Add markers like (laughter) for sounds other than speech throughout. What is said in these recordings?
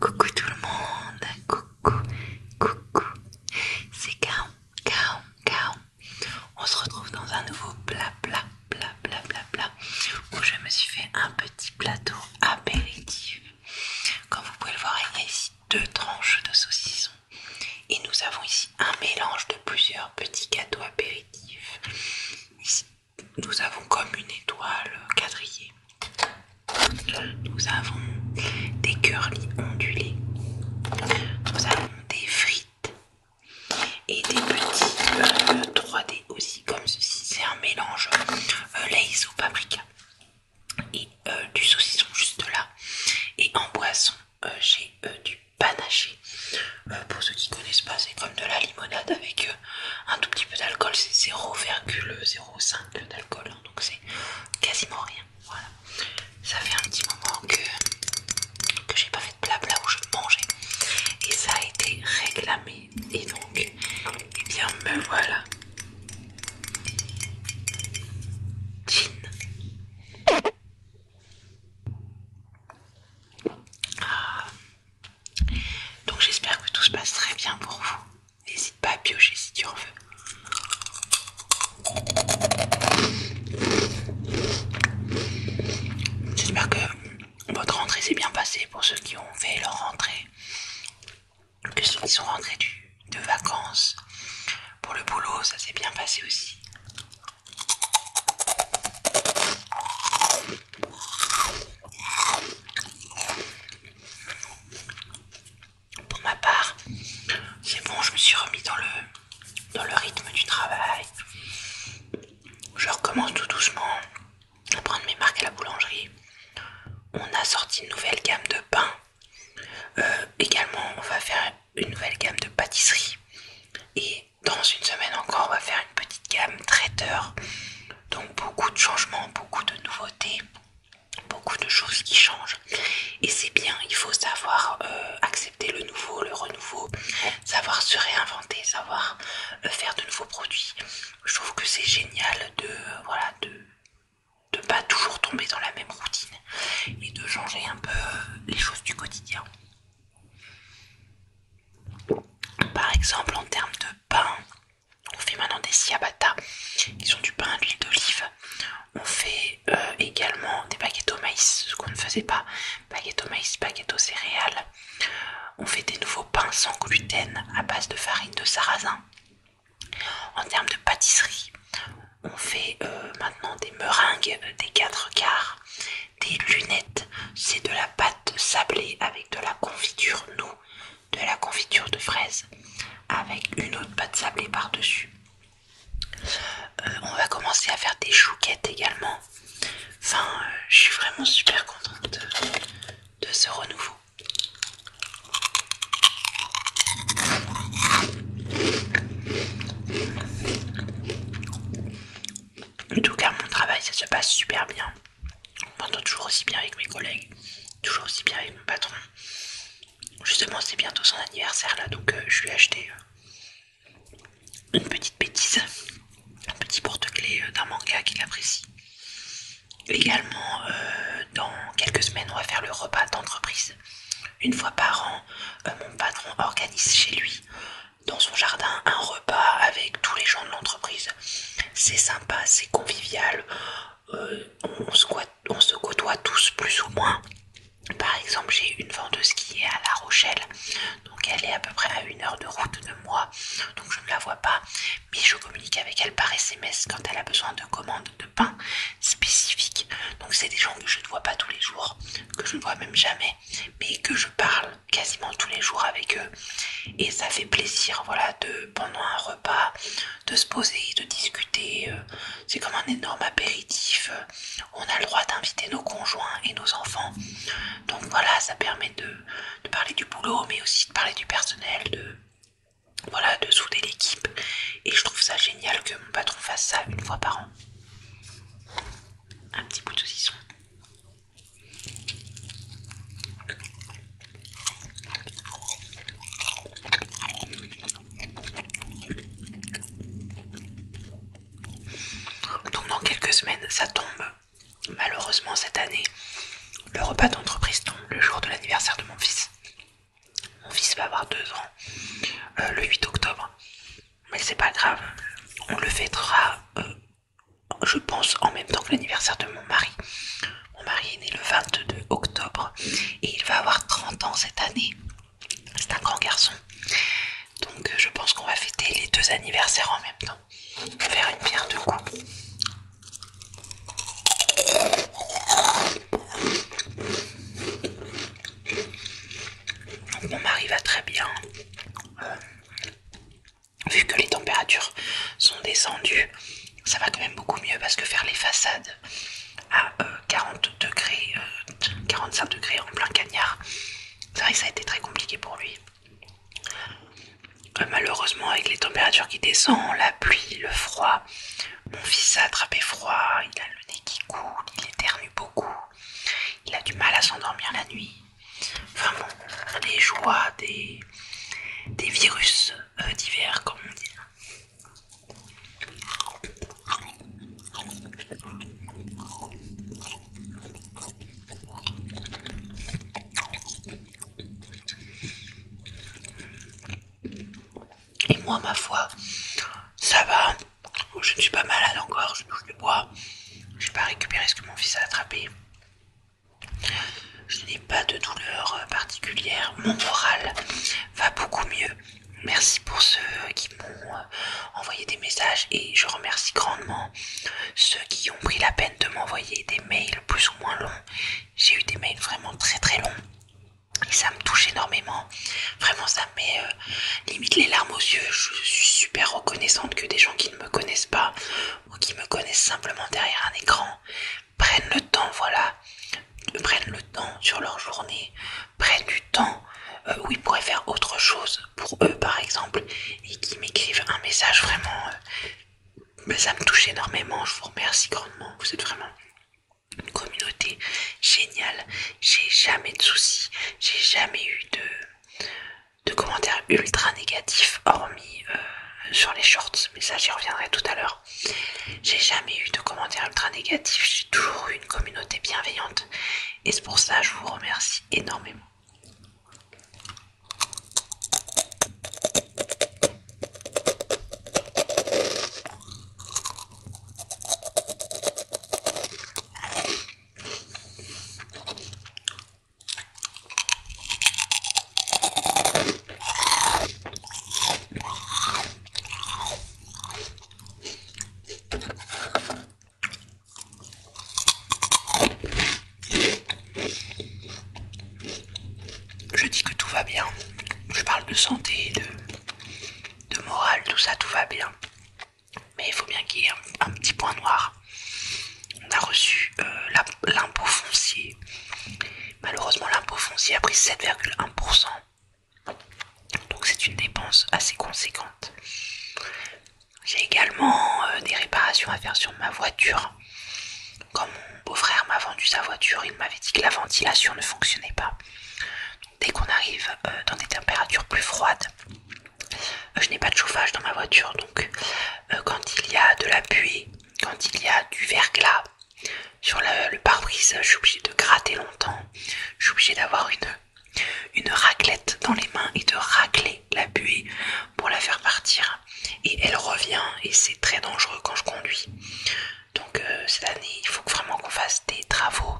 Coucou tout le monde, coucou, coucou, c'est Kaon, Kaon, Kaon. On se retrouve dans un nouveau plat, bla bla bla bla plat, où je me suis fait un petit plateau apéritif. Comme vous pouvez le voir, il y a ici deux tranches de saucisson et nous avons ici un mélange de plusieurs petits gâteaux apéritifs. Ici, nous avons comme une étoile quadrillée. Nous avons des curlis ondulés. Nous avons des frites et des petits 3D euh, aussi comme ceci. C'est un mélange euh, Lay's au paprika et euh, du saucisson juste là. Et en boisson, j'ai du panaché. pour ceux qui connaissent pas, c'est comme de la limonade avec un tout petit peu d'alcool, c'est 0,05 d'alcool, hein, donc c'est quasiment rien. Voilà, ça fait un petit moment que, j'ai pas fait de blabla où je mangeais et ça a été réclamé, et donc, et eh bien, me voilà. jean, ah. Donc j'espère que tout se passe très bien pour vous. N'hésite pas à piocher si tu en veux. J'espère que votre rentrée s'est bien passée pour ceux qui ont fait leur rentrée, que ceux qui sont rentrés de vacances. Pour le boulot, ça s'est bien passé aussi. Pour ma part, c'est bon, je me suis remis dans le, dans le rythme du travail. Je recommence tout doucement à prendre mes marques à la boulangerie. On a sorti une nouvelle gamme de pain. Euh, également, on va faire une nouvelle gamme de pâtisserie. Et dans une semaine encore, on va faire une petite gamme traiteur donc beaucoup de changements, beaucoup de nouveautés, beaucoup de choses qui changent. Et c'est bien, il faut savoir euh, accepter le nouveau, le renouveau, savoir se réinventer, savoir euh, faire de nouveaux produits. Je trouve que c'est génial de... voilà, de pas toujours tomber dans la même routine et de changer un peu euh, les choses du quotidien. Par exemple en termes de pain. On fait maintenant des ciabatta qui sont du pain, à l'huile d'olive. On fait euh, également des baguettes au maïs, ce qu'on ne faisait pas. baguette au maïs, baguette aux céréales. On fait des nouveaux pains sans gluten à base de farine de sarrasin. En termes de pâtisserie, on fait euh, maintenant des meringues des quatre quarts, des lunettes, c'est de la pâte sablée avec de la confiture non, de la confiture de fraise avec une autre pâte sablée par-dessus. Euh, on va commencer à faire des chouquettes également. Enfin, euh, je suis vraiment super contente de, ce renouveau. En tout cas, mon travail, ça se passe super bien. On toujours aussi bien avec mes collègues, toujours aussi bien avec mon patron. Justement, c'est bientôt son anniversaire là, donc euh, je lui ai acheté euh, une petite bêtise, un petit porte-clés euh, d'un manga qu'il apprécie. Également, dans quelques semaines, on va faire le repas d'entreprise. Une fois par an, mon patron organise chez lui dans son jardin un repas avec tous les gens de l'entreprise. C'est sympa, c'est convivial, euh, on, se on se côtoie tous plus ou moins. Par exemple, j'ai une vendeuse qui est à La Rochelle, donc elle est à peu près à une heure de route de moi, donc je ne la vois pas, mais je communique avec elle par SMS quand elle a besoin de commandes de pain spécifiques. Donc c'est des gens que je ne vois pas tous les jours, que je ne vois même jamais, mais que je parle quasiment tous les jours avec eux. Et ça fait plaisir, voilà, de pendant un repas, de se poser, de discuter. Euh, c'est comme un énorme apéritif. On a le droit d'inviter nos conjoints et nos enfants. Donc voilà, ça permet de, parler du boulot, mais aussi de parler du personnel, de de souder l'équipe. Et je trouve ça génial que mon patron fasse ça une fois par an. Un petit bout de saucisson. Donc dans quelques semaines, ça tombe. Malheureusement cette année, le repas d'entreprise tombe le jour de l'anniversaire de mon fils. Mon fils va avoir deux ans euh, le 8 octobre. Mais c'est pas grave, on le fêtera euh, je pense en même temps que l'anniversaire de mon mari. Mon mari est né le 22 octobre et il va avoir 30 ans cette année. C'est un grand garçon. Donc euh, je pense qu'on va fêter les deux anniversaires en même temps. Faire une pierre de donc Mon mari va très bien vu que les températures sont descendues, ça va quand même beaucoup mieux parce que faire les façades à euh, degrés, 45 euh, degrés en plein cagnard, c'est vrai que ça a été très compliqué pour lui. Euh, malheureusement, avec les températures qui descendent, la pluie, le froid, mon fils a attrapé froid, il a le nez qui coule, il éternue beaucoup, il a du mal à s'endormir la nuit. Enfin bon, les joies des, des virus euh, divers, comme on dit. Et moi, ma foi, ça va. Oh, je ne suis pas malade encore, je touche du bois. Je n'ai pas récupéré ce que mon fils a attrapé. Je n'ai pas de douleur particulière. Mon moral va beaucoup mieux. Merci pour ceux qui m'ont euh, envoyé des messages et je remercie grandement ceux qui ont pris la peine de m'envoyer des mails plus ou moins longs. J'ai eu des mails vraiment très très longs et ça me touche énormément. Vraiment, ça me met euh, limite les larmes aux yeux. Je suis super reconnaissante que des gens qui ne me connaissent pas ou qui me connaissent simplement derrière un écran prennent le temps, voilà, prennent le temps sur leur journée, prennent du temps euh, où ils pourraient faire autre chose pour eux, par exemple, et qui m'écrivent un message vraiment. Euh, bah, ça me touche énormément, je vous remercie grandement, vous êtes vraiment une communauté géniale j'ai jamais de soucis, j'ai jamais eu de, de commentaires ultra négatifs, hormis euh, sur les shorts, mais ça j'y reviendrai tout à l'heure. J'ai jamais eu de commentaires ultra négatifs, j'ai toujours eu une communauté bienveillante, et c'est pour ça que je vous remercie énormément. Je dis que tout va bien. Je parle de santé, de, morale, tout ça, tout va bien mais il faut bien qu'il y ait un, petit point noir. On a reçu euh, l'impôt foncier. Malheureusement, l'impôt foncier a pris 7,1%. Donc c'est une dépense assez conséquente. J'ai également euh, des réparations à faire sur ma voiture. Quand mon beau-frère m'a vendu sa voiture, il m'avait dit que la ventilation ne fonctionnait pas dès qu'on arrive euh, dans des températures plus froides, euh, je n'ai pas de chauffage dans ma voiture, donc euh, quand il y a de la buée, quand il y a du verglas sur le pare-brise, je suis obligée de gratter longtemps, je suis obligé d'avoir une, une raclette dans les mains et de racler la buée pour la faire partir. Et elle revient et c'est très dangereux quand je conduis. Donc cette année, il faut vraiment qu'on fasse des travaux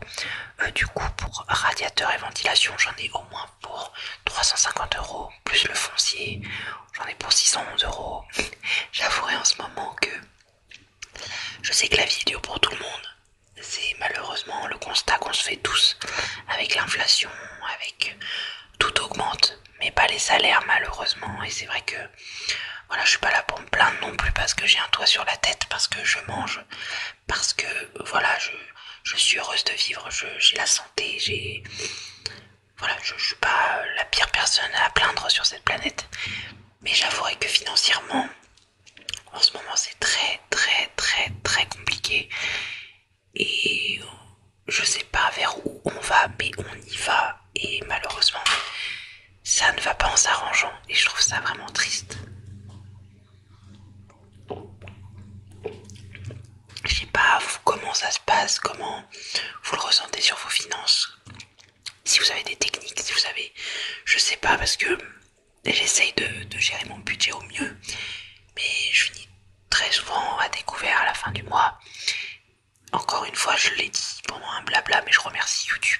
euh, du coup, pour radiateur et ventilation, j'en ai au moins pour 350 euros, plus le foncier, j'en ai pour 611 euros. (laughs) J'avouerai en ce moment que je sais que la vie est dure pour tout le monde. C'est malheureusement le constat qu'on se fait tous avec l'inflation, avec tout augmente, mais pas les salaires malheureusement. Et c'est vrai que voilà, je suis pas là pour me plaindre non plus parce que j'ai un toit sur la tête, parce que je mange, parce que voilà, je, suis heureuse de vivre, j'ai la santé, j'ai. Voilà, je, ne suis pas la pire personne à plaindre sur cette planète, mais j'avouerai que financièrement, en ce moment, c'est très, très, très, très compliqué et je sais pas vers où on va, mais on y va, et malheureusement, ça ne va pas en s'arrangeant et je trouve ça vraiment triste. Je sais pas comment ça se passe, comment vous le ressentez sur vos finances. Si vous avez des techniques, si vous avez, je sais pas parce que j'essaye de, de gérer mon budget au mieux, mais je finis très souvent à découvert à la fin du mois. Encore une fois, je l'ai dit pendant un blabla, mais je remercie YouTube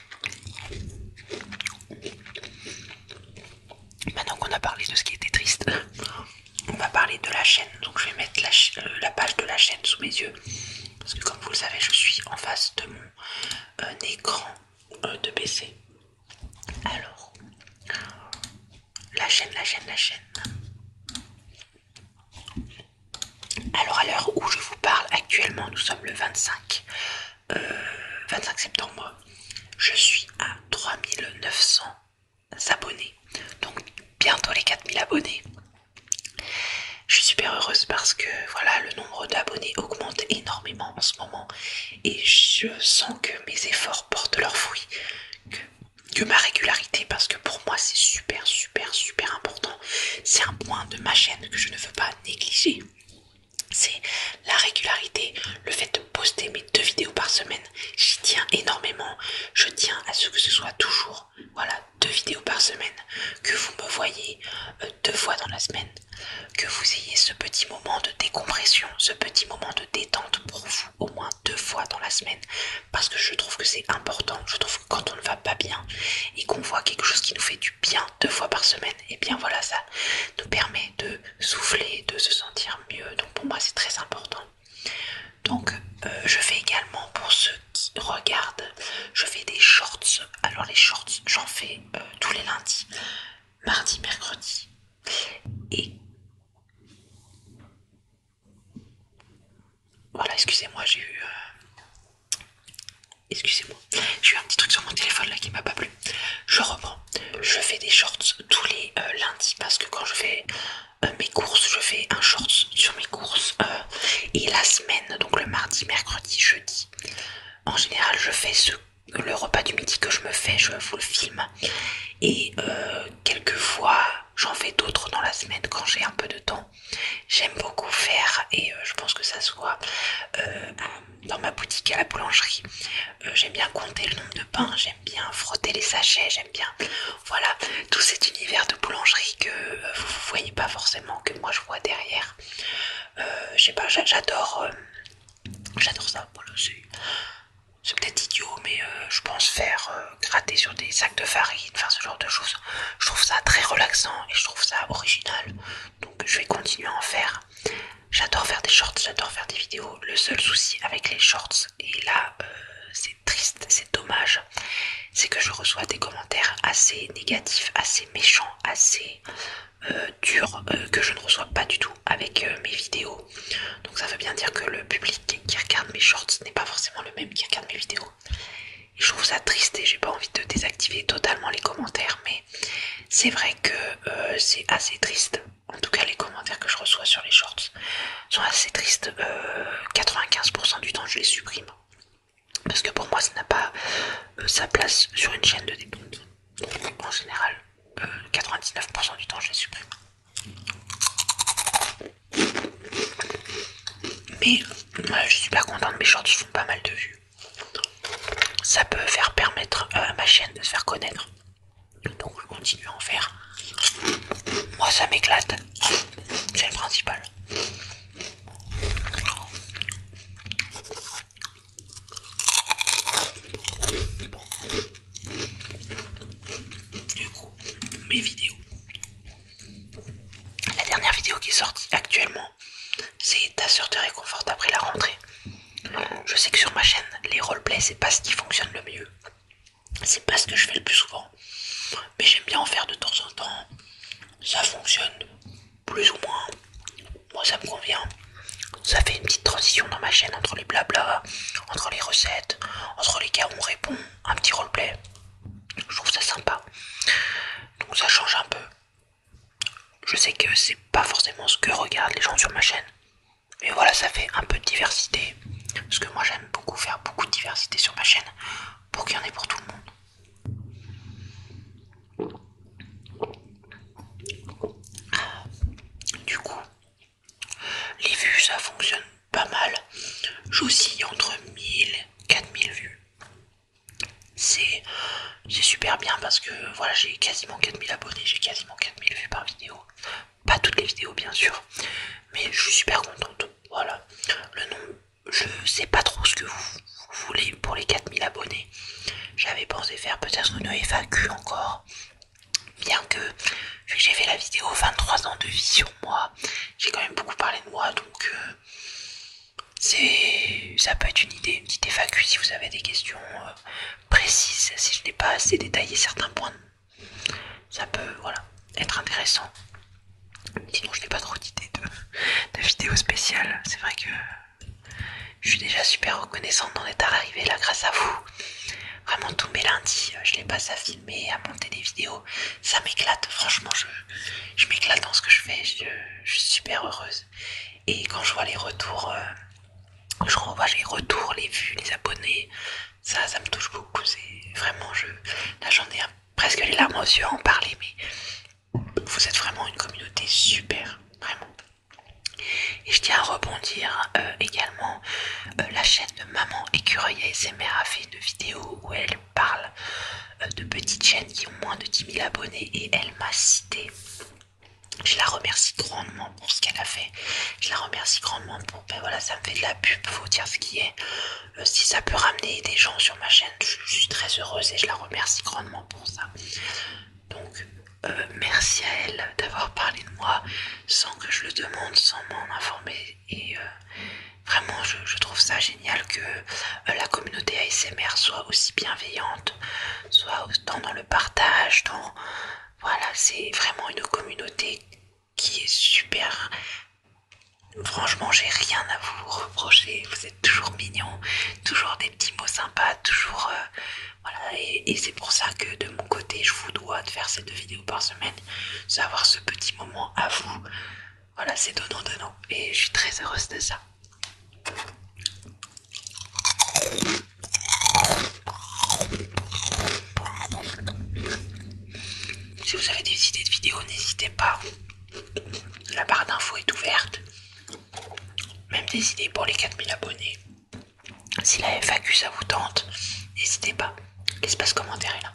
Maintenant qu'on a parlé de ce qui était triste, on va parler de la chaîne. Donc je vais mettre la, euh, page de la chaîne sous mes yeux. Parce que comme vous le savez, je suis en face de mon euh, écran euh, de PC. Alors, la chaîne, la chaîne, la chaîne. Alors à l'heure où je vous parle actuellement, nous sommes le 25 25 euh, septembre, je suis à 3900 abonnés, donc bientôt les 4000 abonnés. Je suis super heureuse parce que voilà, le nombre d'abonnés augmente énormément en ce moment et je sens que mes efforts portent leurs fruits, que ma régularité, parce que pour moi c'est super super super important, c'est un point de ma chaîne que je ne veux pas négliger c'est la régularité, le fait de poster mes deux vidéos par semaine. J'y tiens énormément. Je tiens à ce que ce soit toujours, voilà, deux vidéos par semaine, que vous me voyez euh, deux fois dans la semaine, que vous ayez ce petit moment de décompression, ce petit moment de détente pour vous au moins deux fois dans la semaine, parce que je trouve que c'est important. Je trouve que quand on ne va pas bien et qu'on voit quelque chose qui nous fait du bien deux fois par semaine, et bien voilà, ça nous permet de souffler, de se sentir mieux. Donc pour moi, c'est très important. Donc euh, je fais également pour ceux qui regardent, je fais des shorts. Alors les shorts, j'en fais euh, tous les lundis, mardi, mercredi. Et voilà, excusez-moi, j'ai eu... Euh, Excusez-moi, j'ai eu un petit truc sur mon téléphone là qui m'a pas plu. Je reprends. Je fais des shorts tous les euh, lundis parce que quand je fais euh, mes courses, je fais un short sur mes courses. Euh, et la semaine, donc le mardi, mercredi, jeudi, en général, je fais le repas du midi que je me fais, je vous le filme. Et quelques quelquefois, j'en fais d'autres dans la semaine quand j'ai un peu de temps. J'aime beaucoup faire, et euh, je pense que ça soit euh, dans ma boutique à la boulangerie, euh, j'aime bien compter le nombre de pains, j'aime bien frotter les sachets, j'aime bien, voilà, tout cet univers de boulangerie que vous voyez pas forcément, que moi je vois derrière. je sais pas, j'adore j'adore ça, c'est peut-être idiot, mais je pense faire gratter sur des sacs de farine, enfin ce genre de choses, je trouve ça très relaxant et je trouve ça original. Donc je vais continuer à en faire. J'adore faire des shorts, j'adore faire des vidéos. Le seul souci avec les shorts, et là euh, c'est triste, c'est dommage, c'est que je reçois des commentaires assez négatifs, assez méchants, assez euh, durs, euh, que je ne reçois pas du tout avec mes vidéos. Donc ça veut bien dire que le public qui regarde mes shorts n'est pas forcément le même qui regarde mes vidéos je trouve ça triste et j'ai pas envie de désactiver totalement les commentaires, mais c'est vrai que euh, c'est assez triste. En tout cas, les commentaires que je reçois sur les shorts sont assez tristes. 95% euh, du temps, je les supprime parce que pour moi, ça n'a pas euh, sa place sur une chaîne de décompte. En général, 99% du temps, je les supprime mais euh, je suis super contente, mes shorts font pas mal de vues. Ça peut faire permettre euh, à ma chaîne de se faire connaître. Donc je continue à en faire. Moi ça m'éclate. C'est le principal. Du coup, mes vidéos la dernière vidéo qui est actuellement, c'est ta sortie réconfort après la rentrée. Je sais que sur ma chaîne, les roleplays, c'est pas ce qui fonctionne le mieux. C'est pas ce que je fais le plus souvent. Mais j'aime bien en faire de temps en temps. Ça fonctionne plus ou moins. Moi, ça me convient. Ça fait une petite transition dans ma chaîne entre les blabla, entre les recettes, entre les cas où on répond, un petit roleplay. Je trouve ça sympa donc ça change un peu. Je sais que c'est pas forcément ce que regardent les gens sur ma chaîne, mais voilà, ça fait un peu de diversité. Parce que moi j'aime beaucoup faire beaucoup de diversité sur ma chaîne pour qu'il y en ait pour tout le monde. Du coup, les vues ça fonctionne pas mal. J'oscille entre 1000 et 4000 vues c'est super bien parce que voilà j'ai quasiment 4000 abonnés, j'ai quasiment 4000 vues par vidéo. Pas toutes les vidéos bien sûr, mais je suis super contente. Voilà, le nom, je sais pas trop ce que vous, voulez pour les 4000 abonnés. J'avais pensé faire peut-être une FAQ encore. Bien que, j'ai fait la vidéo 23 ans de vie sur moi, j'ai quand même beaucoup parlé de moi, donc euh, c'est ça peut être une idée, une petite FAQ si vous avez des questions euh, précises, si je n'ai pas assez détaillé certains points. Ça peut voilà, être intéressant. Sinon je n'ai pas trop d'idées de, vidéos spéciales. C'est vrai que je suis déjà super reconnaissante d'en être arrivée là grâce à vous. Vraiment tous mes lundis, euh, je n'ai pas à filmer, à monter des vidéos ça m'éclate, franchement je, je m'éclate dans ce que je fais, je, suis super heureuse. Et quand je vois les retours, euh, je revois les retours, les vues, les abonnés, ça ça me touche beaucoup, vraiment je. Là j'en ai presque les larmes aux yeux à en parler, mais vous êtes vraiment une communauté super, vraiment. Et je tiens à rebondir euh, également, euh, la chaîne de Maman Écureuil ASMR a fait une vidéo où elle parle euh, de petites chaînes qui ont moins de 10 000 abonnés et elle m'a cité. Je la remercie grandement pour ce qu'elle a fait. Je la remercie grandement pour... Ben voilà, ça me fait de la pub, faut dire ce qui est. Euh, si ça peut ramener des gens sur ma chaîne, je, suis très heureuse et je la remercie grandement pour ça. Donc, euh, merci à elle d'avoir parlé de moi sans que je le demande, sans m'en informer et euh, vraiment je, trouve ça génial que euh, la communauté ASMR soit aussi bienveillante, soit autant dans le partage, Voilà, c'est vraiment une communauté qui est super. Franchement, j'ai rien à vous reprocher. Vous êtes toujours mignons, toujours des petits mots sympas, toujours. Euh, voilà, et, c'est pour ça que de mon côté, je vous dois de faire cette vidéo, par semaine, savoir ce petit moment à vous. Voilà, c'est donnant, donnant. Et je suis très heureuse de ça. Si vous avez des idées de vidéos, n'hésitez pas. La barre d'infos est ouverte. Même des idées pour les 4000 abonnés. Si la FAQ ça vous tente, n'hésitez pas. Qu'est-ce qu'il se passe comment derrière là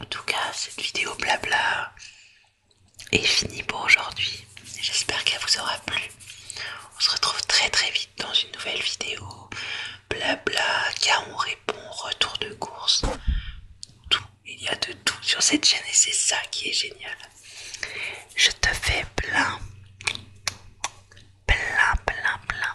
en tout cas, cette vidéo blabla est finie pour aujourd'hui. J'espère qu'elle vous aura plu. On se retrouve très très vite dans une nouvelle vidéo. Blabla, car on répond, retour de course. Tout, il y a de tout sur cette chaîne et c'est ça qui est génial. Je te fais plein, plein, plein, plein